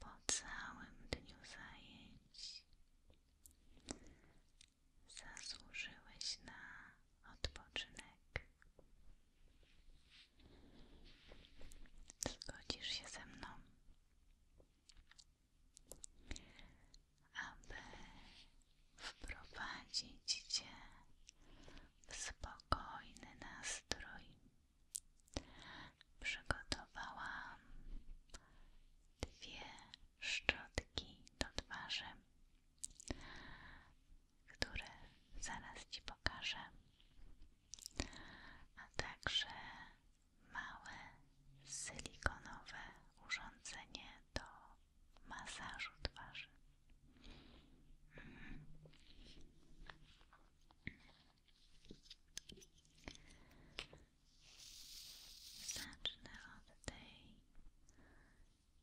Po całym dniu zajęć zasłużyłeś na odpoczynek. Zgodzisz się ze mną, aby wprowadzić Cię w spokojny nastrój. Przygotowałam dwie szczotki do twarzy, które zaraz Ci pokażę, a także małe silikonowe urządzenie do masażu twarzy. Mhm. Zacznę od tej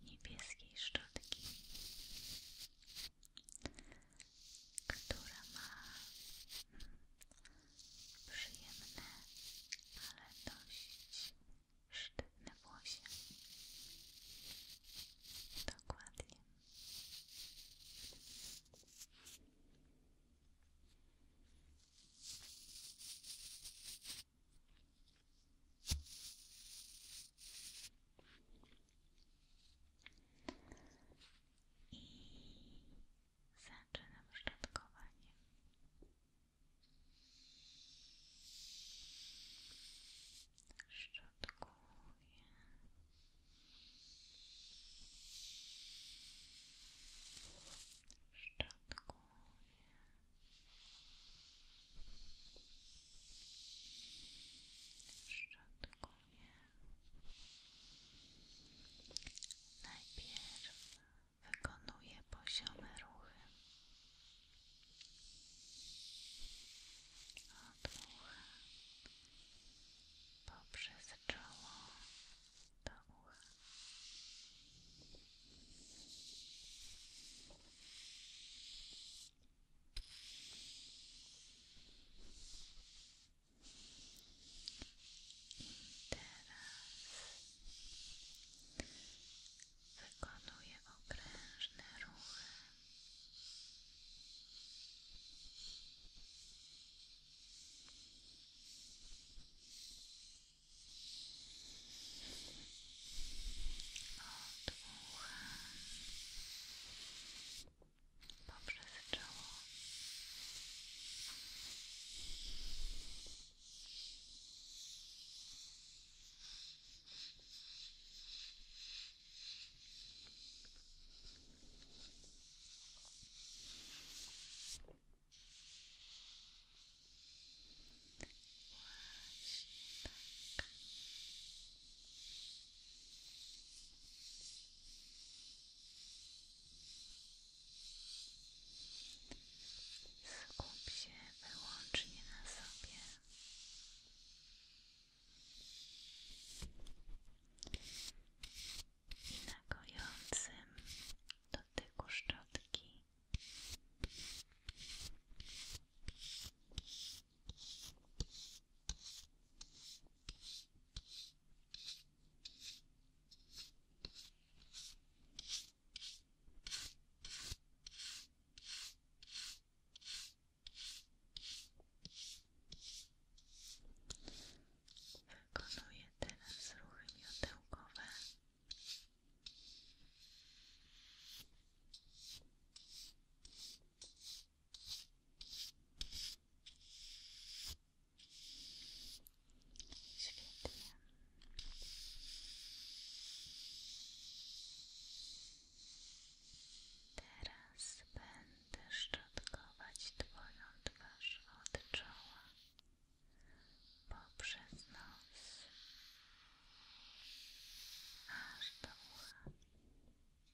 niebieskiej szczotki która ma hmm, przyjemne, ale dość sztywne włosie. Dokładnie i zaczynam szczotkowanie. Szczotkuję. Szczotkuję. Szczotkuję. Najpierw wykonuję poziome ruchy. Od ucha poprzez czoło do ucha teraz wykonuję okrężne ruchy. Od ucha poprzez czoło. Właśnie tak. Skup się wyłącznie na sobie. I na gojącym dotyku szczotki. Wykonuję teraz ruchy miotełkowe. Teraz będę szczotkować Twoją twarz od czoła poprzez nos aż do ucha.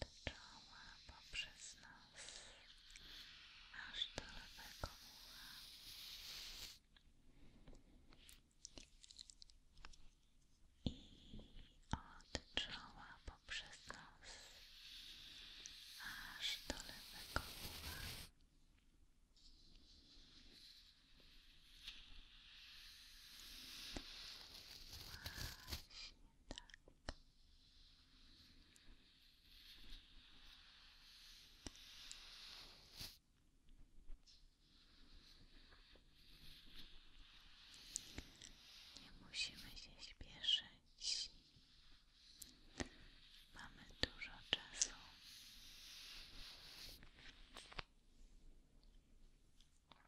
od czoła poprzez nos aż do lewego ucha. I od poprzez nos aż do Właśnie tak. Nie musimy się śpieszyć. Mamy dużo czasu.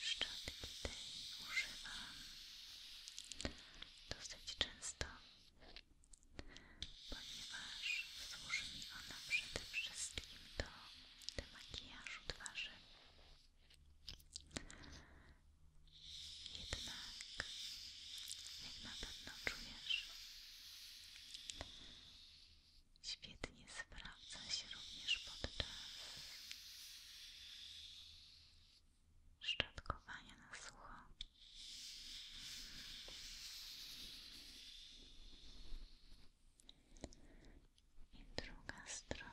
Szczotki tej używam dosyć często, ponieważ służy mi ona przede wszystkim do demakijażu twarzy. Jednak, jak na pewno czujesz, świetnie Świetnie sprawdza się również podczas szczotkowania na sucho. druga strona.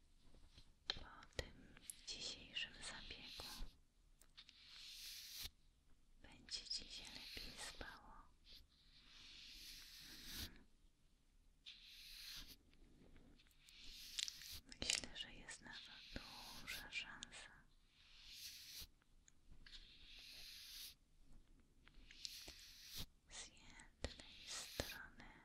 Po tym dzisiejszym zabiegu będzie Ci lepiej spało. Myślę, że jest na to duża szansa. Zjem zewnętrznej strony i strony.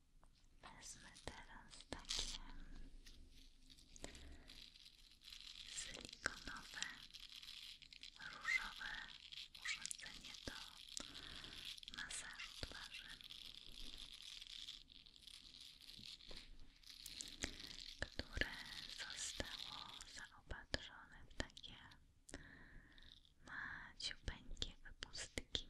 Wezmę teraz takie silikonowe, różowe urządzenie do masażu twarzy, które zostało zaopatrzone w takie maciupeńkie wypustki.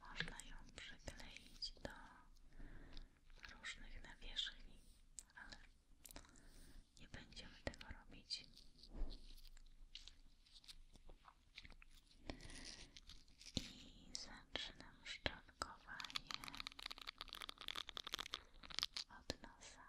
Można ją przykleić do różnych nawierzchni, ale nie będziemy tego robić. I zaczynam szczotkowanie od nosa.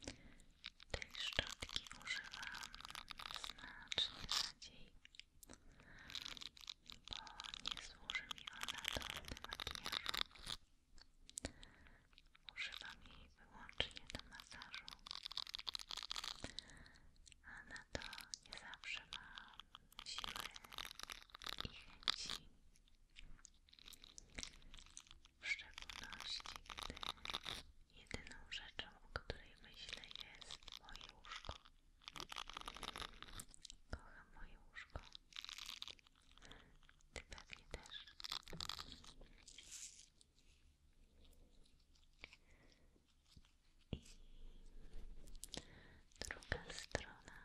Tej szczotki używam znacznie rzadziej, bo nie służy mi ona do makijażu. Używam jej wyłącznie do masażu, a na to nie zawsze mam siłę i chęci. W szczególności, gdy jedyną rzeczą, o której myślę, jest moje łóżko. Kocham moje łóżko. Ty pewnie też. I druga strona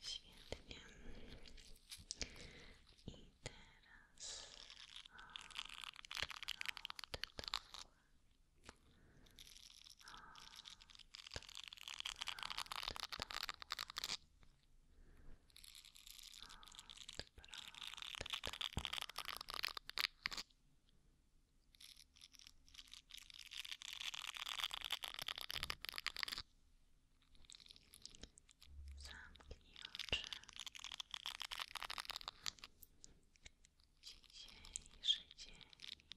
Świetnie. I teraz od dołu. Od, od dołu. Zamknij oczy. Dzisiejszy dzień powoli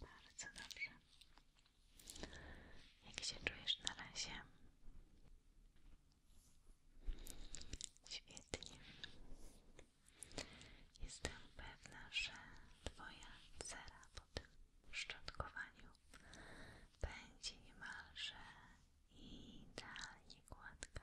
Bardzo dobrze. Jak się czujesz na razie? Świetnie. Jestem pewna, że Twoja cera po tym szczotkowaniu będzie niemalże idealnie gładka.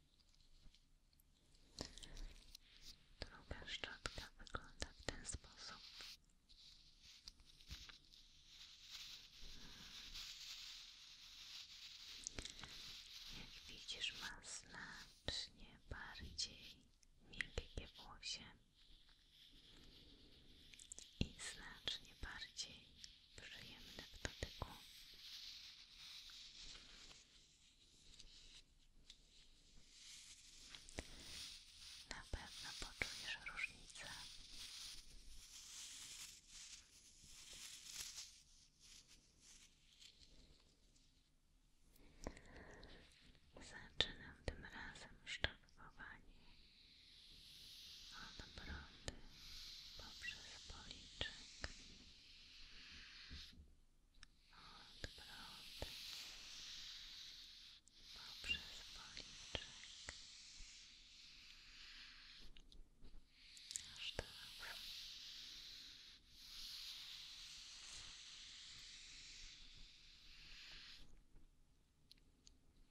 Druga szczotka wygląda w ten sposób. Jak widzisz, ma znacznie bardziej miękkie włosy i znacznie bardziej przyjemne tak w dotyku. Na pewno poczujesz różnicę. Zaczynam tym razem szczotkowanie od brody zęby poprzez policzek od brody poprzez policzek aż tak Teraz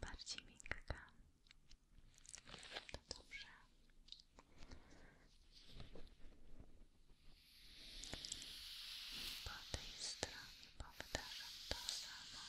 bardziej miękka. To dobrze. Po tej stronie powtarzam to samo.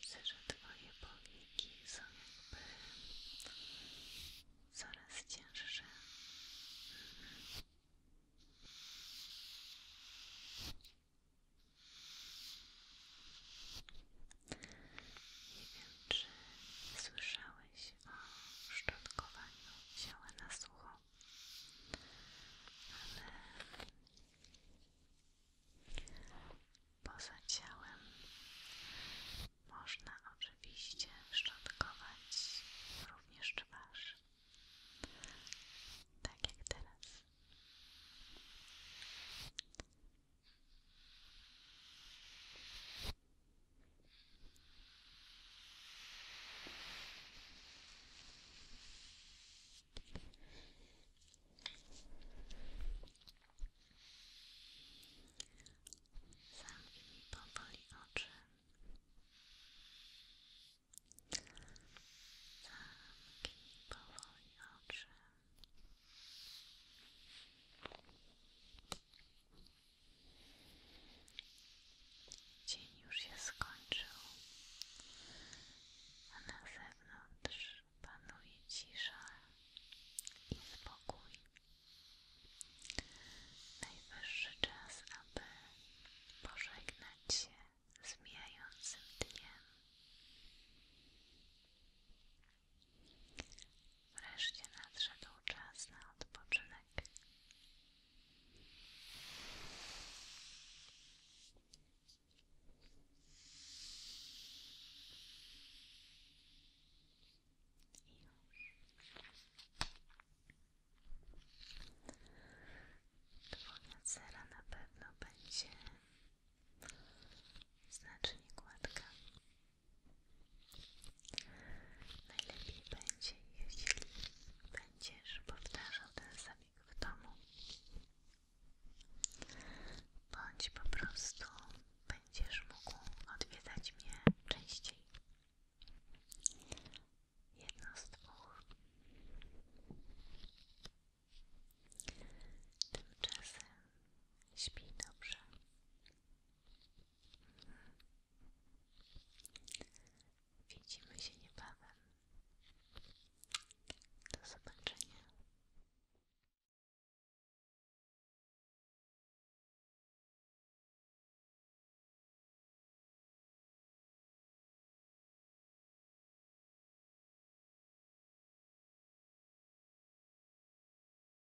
Widzę, że Twoje powieki są jakby coraz cięższe. Nie wiem, czy słyszałeś o szczotkowaniu wzięła na sucho. Ale poza ciałem można oczywiście szczotkować również twarz. Tak jak teraz. Zamknij mi powoli oczy. Zamknij powoli oczy. Dzień już się skończył, a na zewnątrz panuje cisza i spokój. Najwyższy czas, aby pożegnać się z mijającym dniem. Wreszcie nadszedł czas na odpoczynek. Dwójna cera na pewno będzie znacznie gładka. Najlepiej będzie, jeśli będziesz powtarzał ten zabieg w domu. Bądź po prostu będziesz mógł odwiedzać mnie częściej. Jedno z dwóch. Tymczasem śpi dobrze. Widzimy się niebawem. Do zobaczenia.